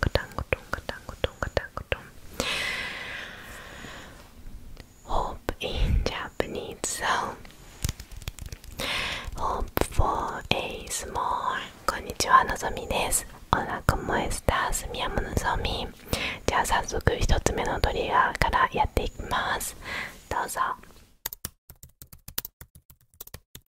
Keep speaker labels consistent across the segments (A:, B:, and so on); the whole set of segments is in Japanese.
A: カタンゴトンカタンゴトンカタンゴン Hope in Japanese so h こんにちはのぞみですじゃあ早速1つ目のトリガーからやっていきますどうぞ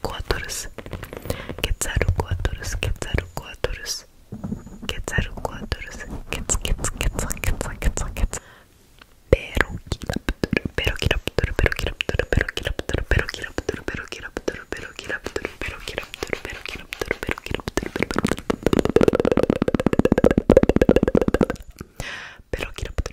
A: Quetzalcoatlus, Quetzalcoatlus, Quetzalcoatlus, Quetzalcoatlus, Quetz, Quetz, Quetz, Quetz, Quetz, Quetz, Perociraptor, Perociraptor, Perociraptor, Perociraptor, Perociraptor, Perociraptor, Perociraptor, Perociraptor, Perociraptor, Perociraptor, Perociraptor,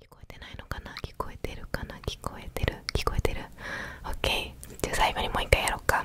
A: 聞こえてないのかな聞こえてるかな聞こえてる聞こえてる OK じゃあ最後にもう一回やろうか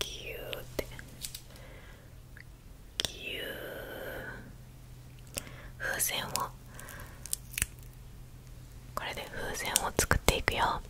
A: ぎゅーってぎゅー風船をこれで風船を作っていくよ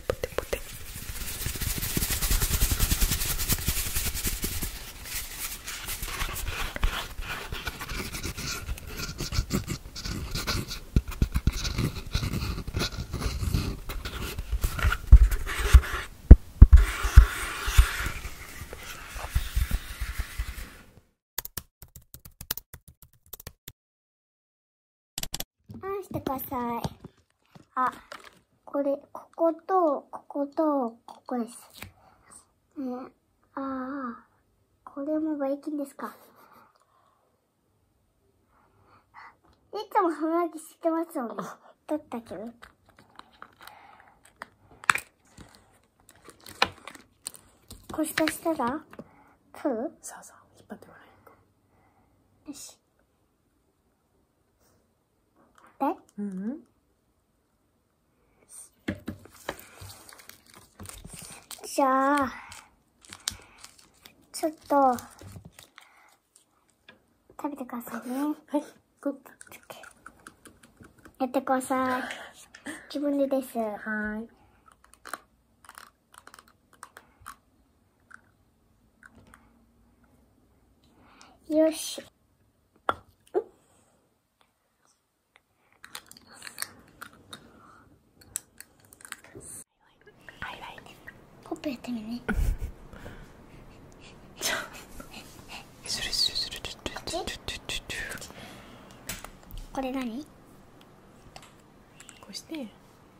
A: テポテポテ返してください。あ、これ、ここと、ここと、ここです。えああ、これもバイキンですか。いつも歯磨きしてますよね。取ったけど。こしたしたら、プーそうそう、引っ張ってもらえよし。えうん。じゃあ、ちょっと、食べてくださいね。はい、グッド。やってください。気分でです。はい。よし。ポップやってみね。これ何こうして。